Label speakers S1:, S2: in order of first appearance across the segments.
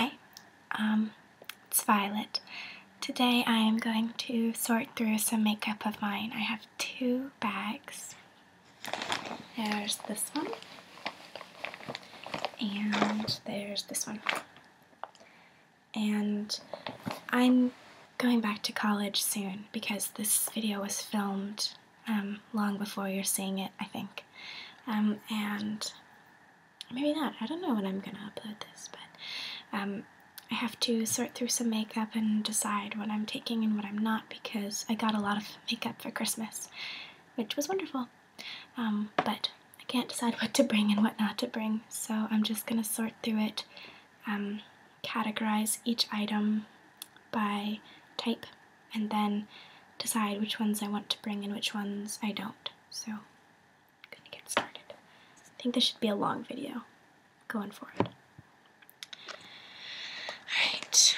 S1: Hi, um, it's Violet. Today I am going to sort through some makeup of mine. I have two bags. There's this one, and there's this one. And I'm going back to college soon because this video was filmed um, long before you're seeing it, I think. Um, and maybe not. I don't know when I'm gonna upload this, but um, I have to sort through some makeup and decide what I'm taking and what I'm not because I got a lot of makeup for Christmas, which was wonderful. Um, but I can't decide what to bring and what not to bring, so I'm just gonna sort through it, um, categorize each item by type, and then decide which ones I want to bring and which ones I don't so i gonna get started. I think this should be a long video. Going for it. Alright.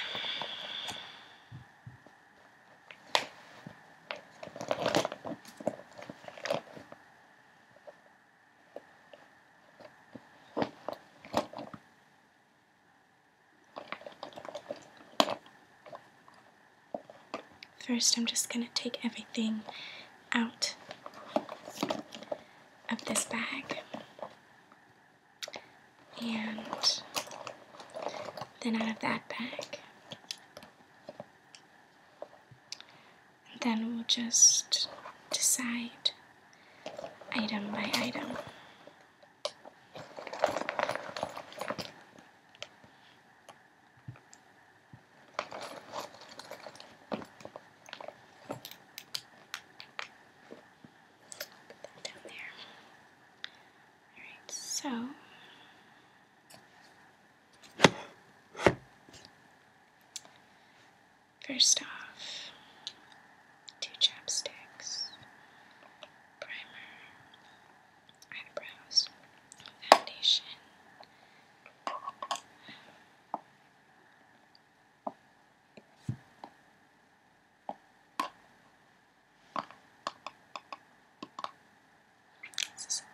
S1: First, I'm just going to take everything out of this bag and then out of that bag. then we'll just decide item by item down there. Alright, so first off, two chapsticks, primer, eyebrows, foundation. a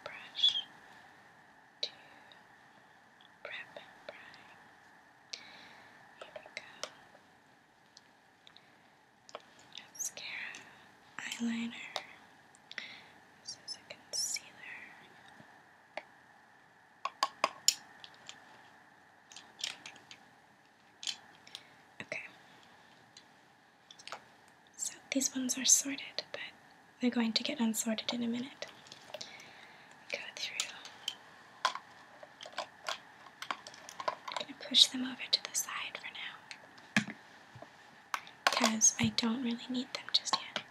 S1: brush to prep and prime. Here we go mascara, eyeliner. This is a concealer. Okay. So these ones are sorted, but they're going to get unsorted in a minute. Go through. I'm going to push them over to the side for now because I don't really need them just yet.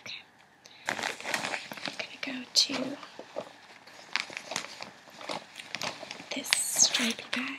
S1: Okay, I'm gonna go to this stripy bag.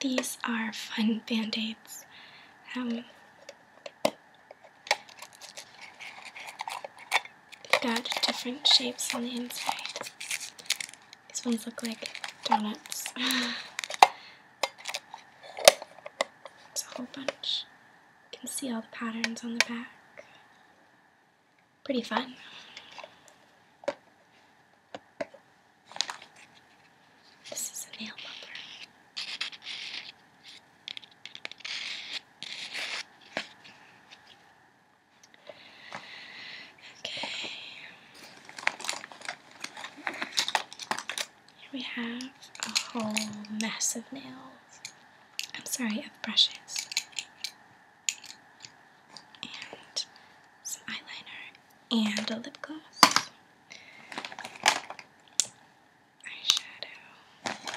S1: These are fun band-aids. Um, they've got different shapes on the inside. These ones look like donuts. it's a you can see all the patterns on the back. Pretty fun. This is a nail bumper. Okay. Here we have a whole mess of nails. I'm sorry, of brushes. And some eyeliner and a lip gloss. Eyeshadow.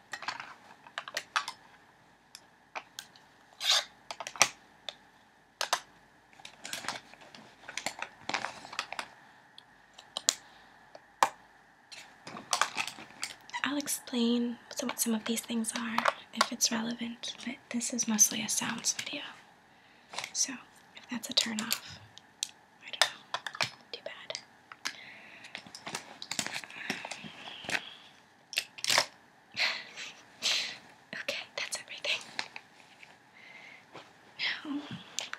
S1: I'll explain what some of these things are if it's relevant, but this is mostly a sounds video, so if that's a turn off, I don't know. Too bad. okay, that's everything. Now am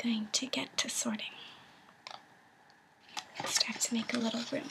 S1: going to get to sorting. Just to make a little room.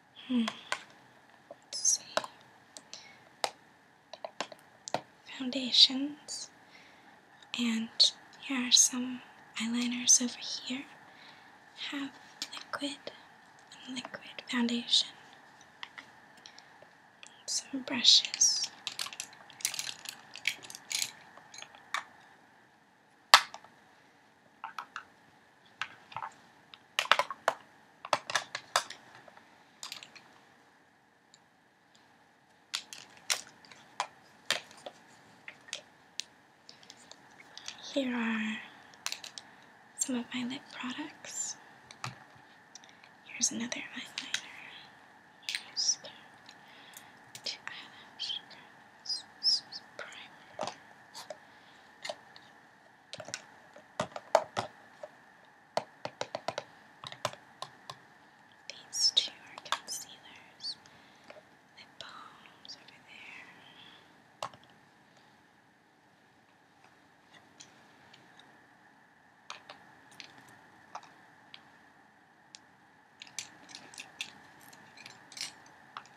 S1: Hmm. Let's see. Foundations. And here are some eyeliners over here. Have liquid liquid foundation. Some brushes. Here are some of my lip products. Here's another eyeliner primer. These two are concealers. Lip balms over there.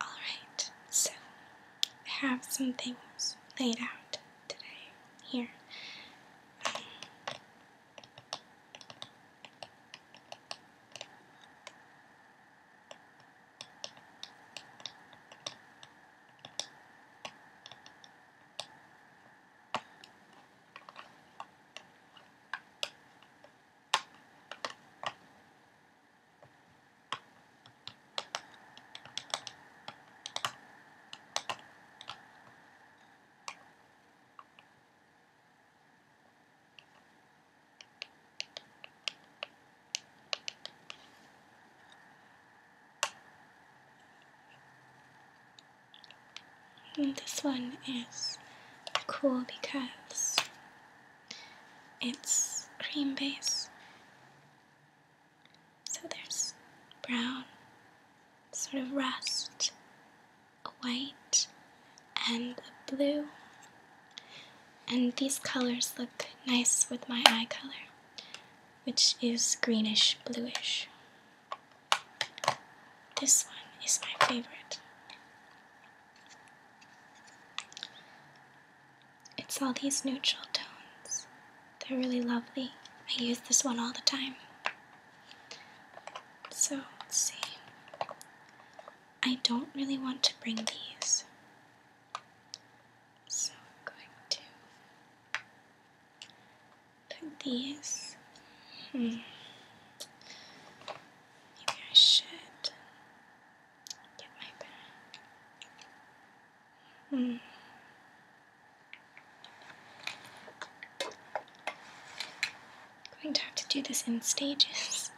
S1: Alright, so I have some things laid out today here this one is cool because it's cream base. So there's brown, sort of rust, a white, and a blue. And these colors look nice with my eye color, which is greenish bluish. This one is my favorite. It's all these neutral tones. They're really lovely. I use this one all the time. So, let's see. I don't really want to bring these. So, I'm going to put these. Hmm. Maybe I should. Get my bag. Hmm. Going to have to do this in stages.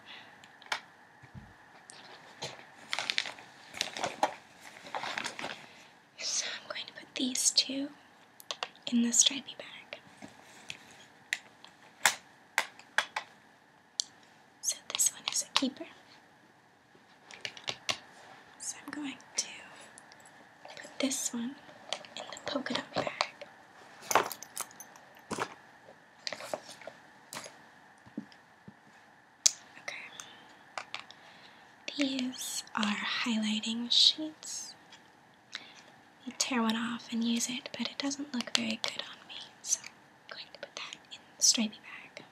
S1: So I'm going to put these two in the stripy bag. So this one is a keeper. So I'm going to put this one in the polka dot bag. Okay. These are highlighting sheets. You tear one off and use it, but it doesn't look very good on me, so going to put that in the stripey bag.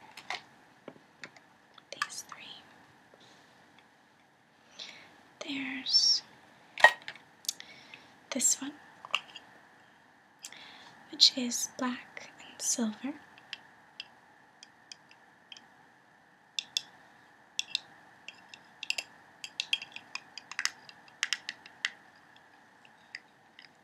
S1: These three. There's this one, which is black and silver.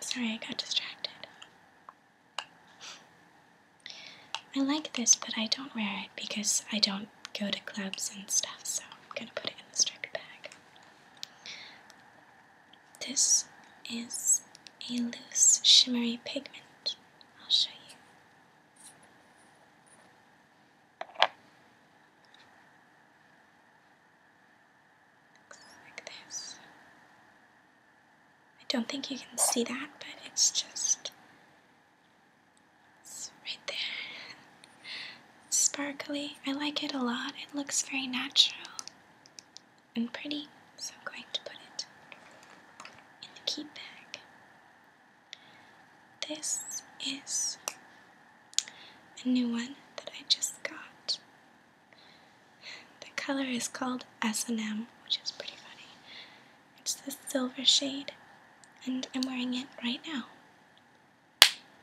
S1: Sorry, I got distracted. I like this, but I don't wear it because I don't go to clubs and stuff, so I'm gonna put it in the stripy bag. This is a loose, shimmery pigment. I'll show you like this. I don't think you can see that, but it's just it's right there. Sparkly. I like it a lot. It looks very natural and pretty, so I'm going to put it in the key bag. This is a new one that I just got. The color is called S&M, which is pretty funny. It's this silver shade, and I'm wearing it right now,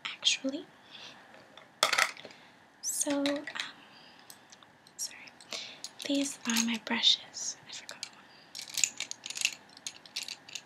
S1: actually. So, um, sorry. These are my brushes.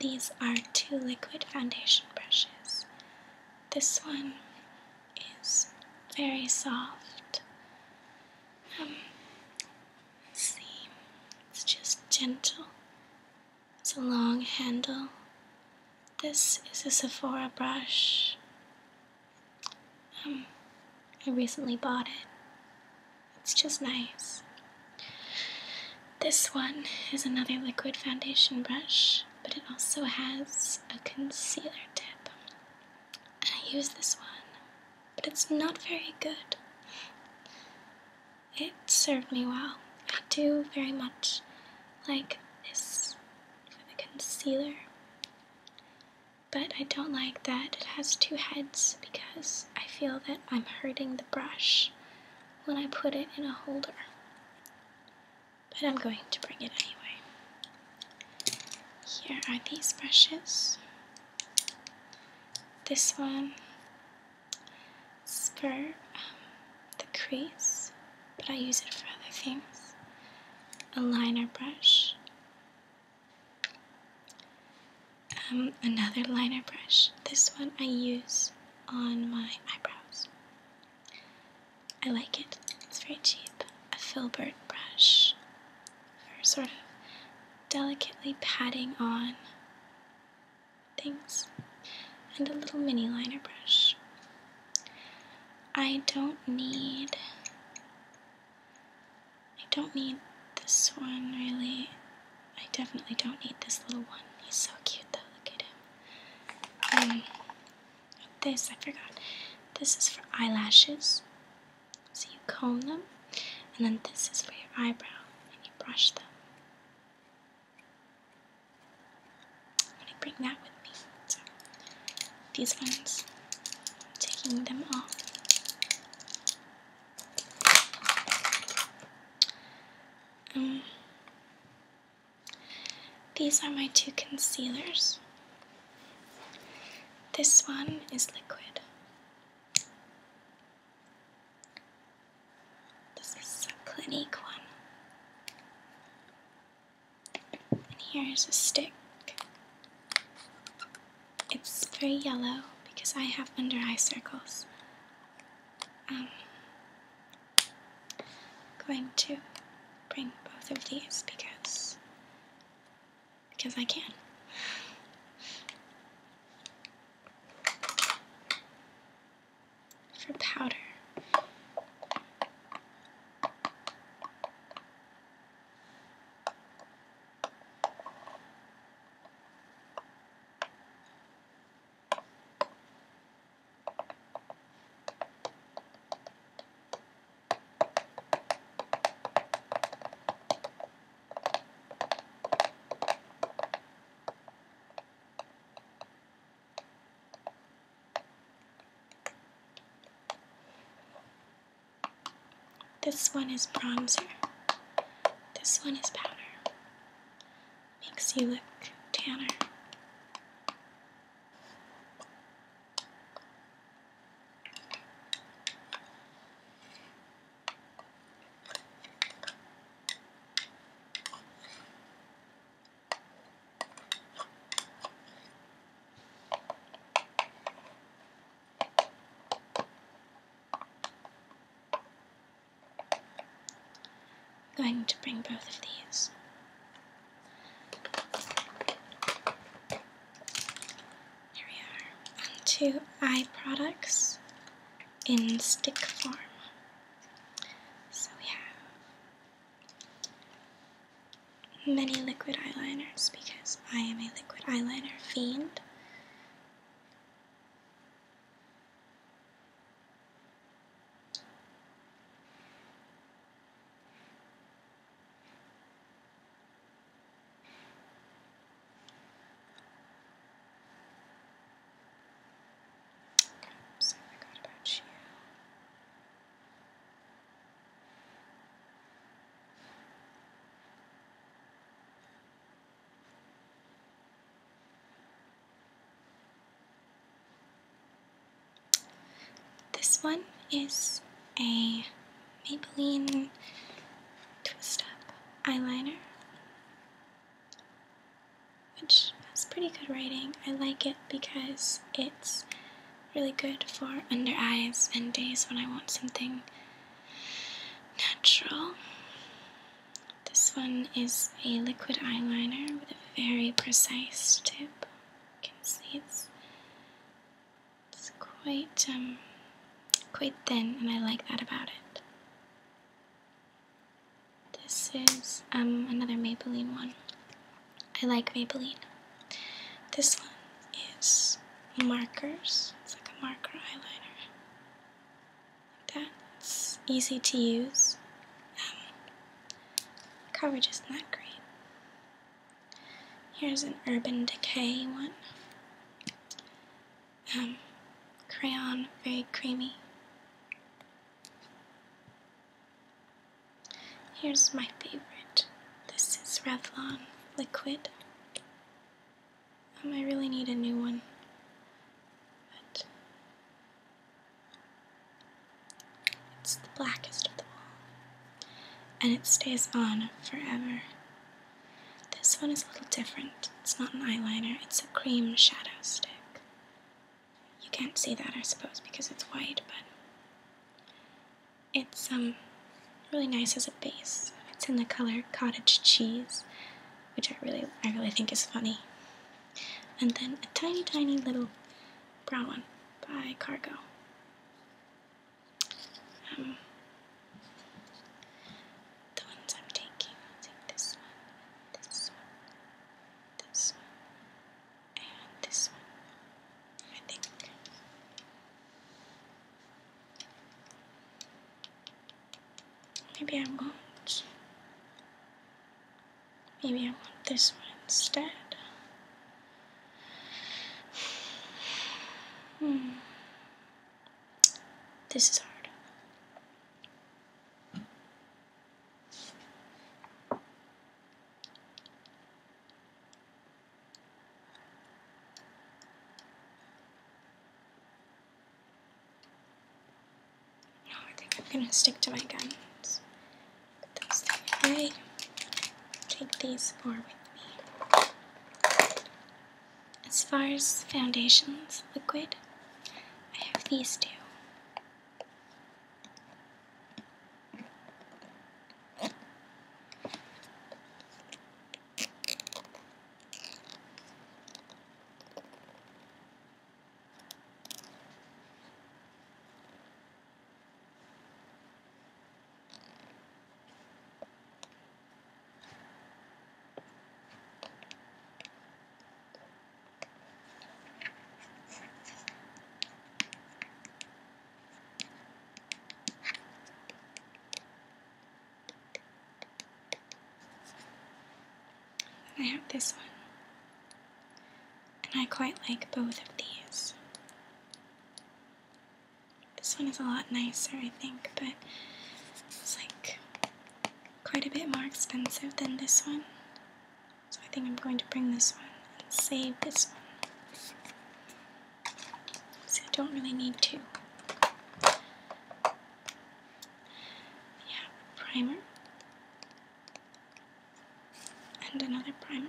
S1: These are two liquid foundation brushes. This one is very soft. Um, see, it's just gentle it's a long handle. This is a Sephora brush. Um, I recently bought it. It's just nice. This one is another liquid foundation brush, but it also has a concealer tip. I use this one, but it's not very good it served me well. I do very much like this for the concealer, but I don't like that it has two heads because I feel that I'm hurting the brush when I put it in a holder. But I'm going to bring it anyway. Here are these brushes. This one Spur um, the crease, but I use it for other things. A liner brush. Um, another liner brush. This one I use on my eyebrows. I like it. It's very cheap. A filbert brush for sort of delicately patting on things, and a little mini liner brush. I don't need. I don't need this one really. I definitely don't need this little one. He's so cute though. Look at him. Um, this I forgot. This is for eyelashes. So you comb them, and then this is for your eyebrow, and you brush them. I'm gonna bring that with me. these ones, taking them off. Um, these are my two concealers. This one is liquid. This is a Clinique one. And here is a stick. It's very yellow because I have under eye circles. Um, going to bring both of these because because I can for powder. This one is bronzer. This one is powder. Makes you look tanner. I'm going to bring both of these here we are onto eye products in stick form. So we have many liquid eyeliners because I am a liquid eyeliner fiend so I forgot about you. This one is a Maybelline Twist Up eyeliner which has pretty good writing. I like it because it's really good for under eyes and days when I want something natural. This one is a liquid eyeliner with a very precise tip. You can see it's, it's quite um, quite thin, and I like that about it. This is um, another Maybelline one. I like Maybelline. This one is markers. It's like a marker eyeliner. That's easy to use. Um, coverage isn't that great. Here's an Urban Decay one um, crayon, very creamy. Here's my favorite. This is Revlon Liquid. Um, I really need a new one. But it's the blackest of them all. And it stays on forever. This one is a little different. It's not an eyeliner, it's a cream shadow stick. You can't see that, I suppose, because it's white, but it's um really nice as a base. It's in the color cottage cheese, which I really I really think is funny. And then a tiny tiny little brown one by Cargo. Um, the ones I'm taking, I'll take this one, this one, this one, and this one, I think. Maybe I will Maybe I want this one instead. Hmm. This is hard. No, I think I'm gonna stick to my guns. Put Take these four with me. As far as foundations, liquid, I have these two. And I have this one. And I quite like both of these. This one is a lot nicer, I think, but it's like quite a bit more expensive than this one. So I think I'm going to bring this one and save this one. So I don't really need two. Yeah, primer and another primer.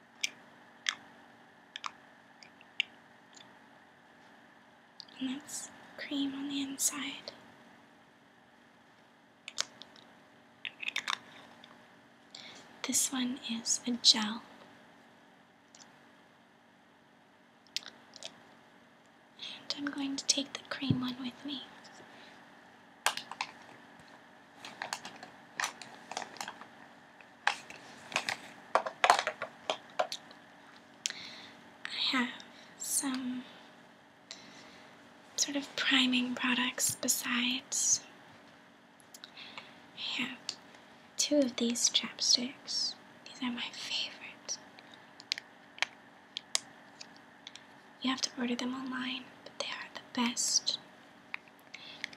S1: And that's cream on the inside. This one is a gel. And I'm going to take the cream one with me. I have some sort of priming products besides. I have two of these chapsticks. These are my favorite. You have to order them online, but they are the best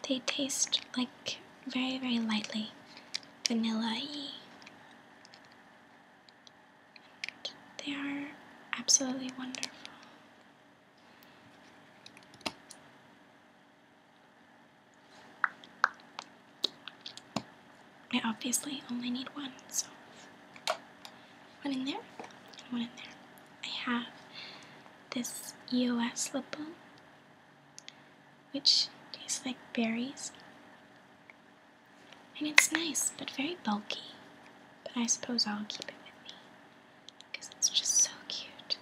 S1: they taste like very, very lightly vanilla y. they are absolutely wonderful. I obviously only need one, so one in there and one in there. I have this EOS lip balm which tastes like berries. And it's nice, but very bulky. But I suppose I'll keep it with me because it's just so cute.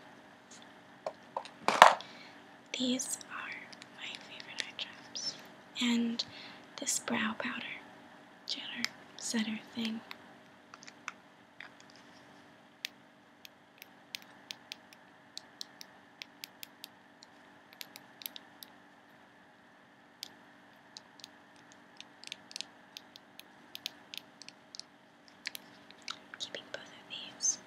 S1: These are my favorite eye drops. And this brow powder, cheddar, setter thing. Keeping both of these.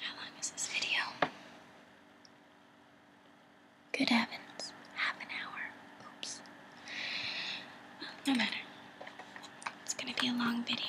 S1: How long is this video? Good heavens, half an hour. Oops. no matter. It's gonna be a long video.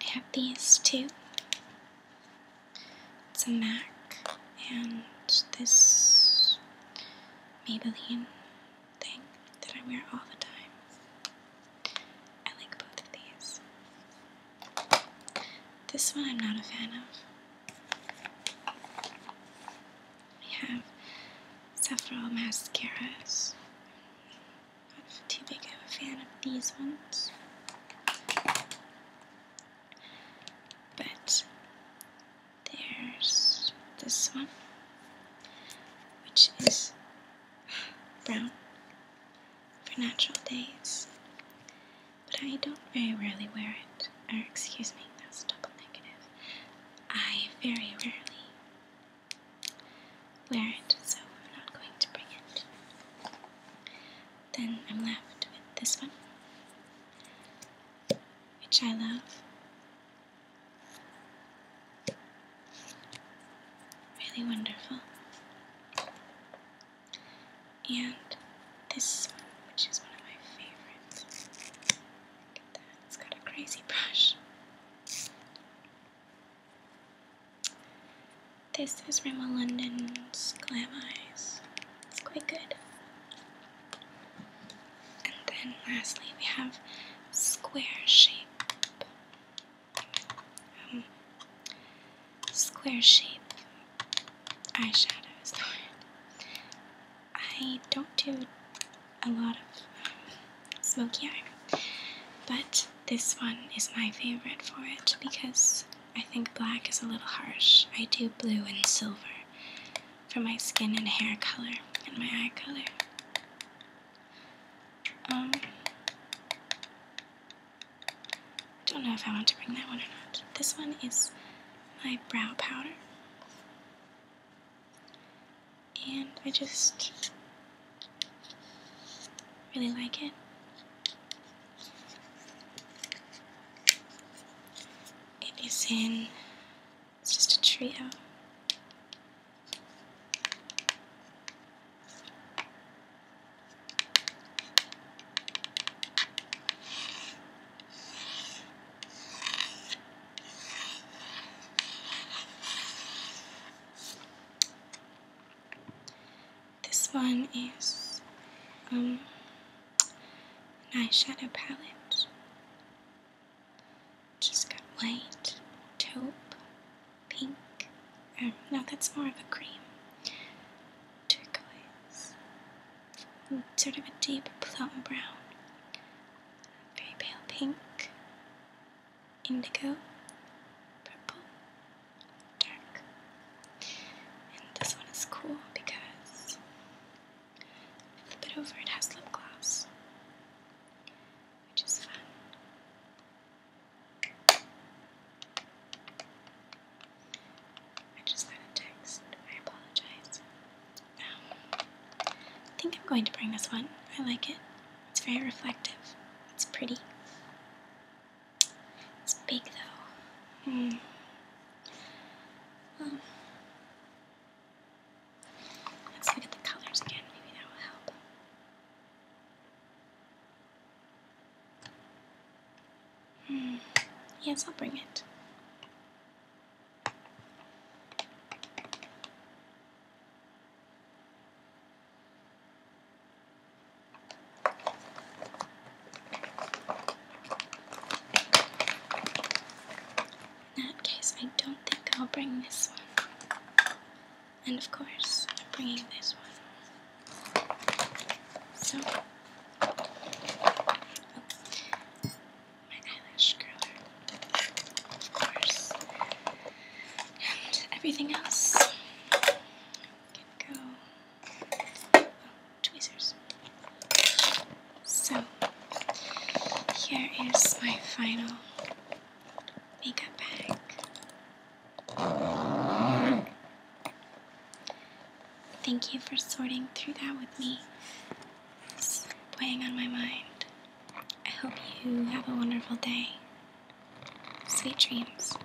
S1: I have these two it's a MAC and this Maybelline thing that I wear all the time. I like both of these. This one I'm not a fan of. We have several mascaras. I'm not too big of a fan of these ones. But there's this one, which is brown for natural days. But I don't very rarely wear it. Or, excuse me, that's double negative. I very rarely wear it, so I'm not going to bring it then I'm left with this one, which I love. Really wonderful. And this one, which is one of my favorites. Look at that, it's got a crazy brush. This is Rama London's Glam Eyes. It's quite good. And then lastly, we have Square Shape. Um, square Shape eyeshadows. I don't do a lot of um, smoky eye, but this one is my favorite for it because I think black is a little harsh. I do blue and silver for my skin and hair color and my eye color. Um, don't know if I want to bring that one or not. This one is my brow powder. And I just really like it. It is in, it's just a trio. This one is um, an eyeshadow palette. Just got white, taupe, pink. Um, no, that's more of a cream. Turquoise. Mm, sort of a deep plum brown. Very pale pink. Indigo. Purple dark. And this one is cool because flip it over, it has lip gloss, which is fun. I just got a text. I apologize. Um, I think I'm going to bring this one. I like it. It's very reflective. It's pretty. It's big though. Hmm. Um, let's look at the colors again. Maybe that will help. Hmm. Yes, I'll bring it. In that case, I don't think I'll bring this one. And of course, I'm bringing this one. So, oh, my eyelash curler, of course, and everything else can go tweezers. So, here is my final makeup bag. Thank you for sorting through that with me. It's weighing on my mind. I hope you have a wonderful day. Sweet dreams.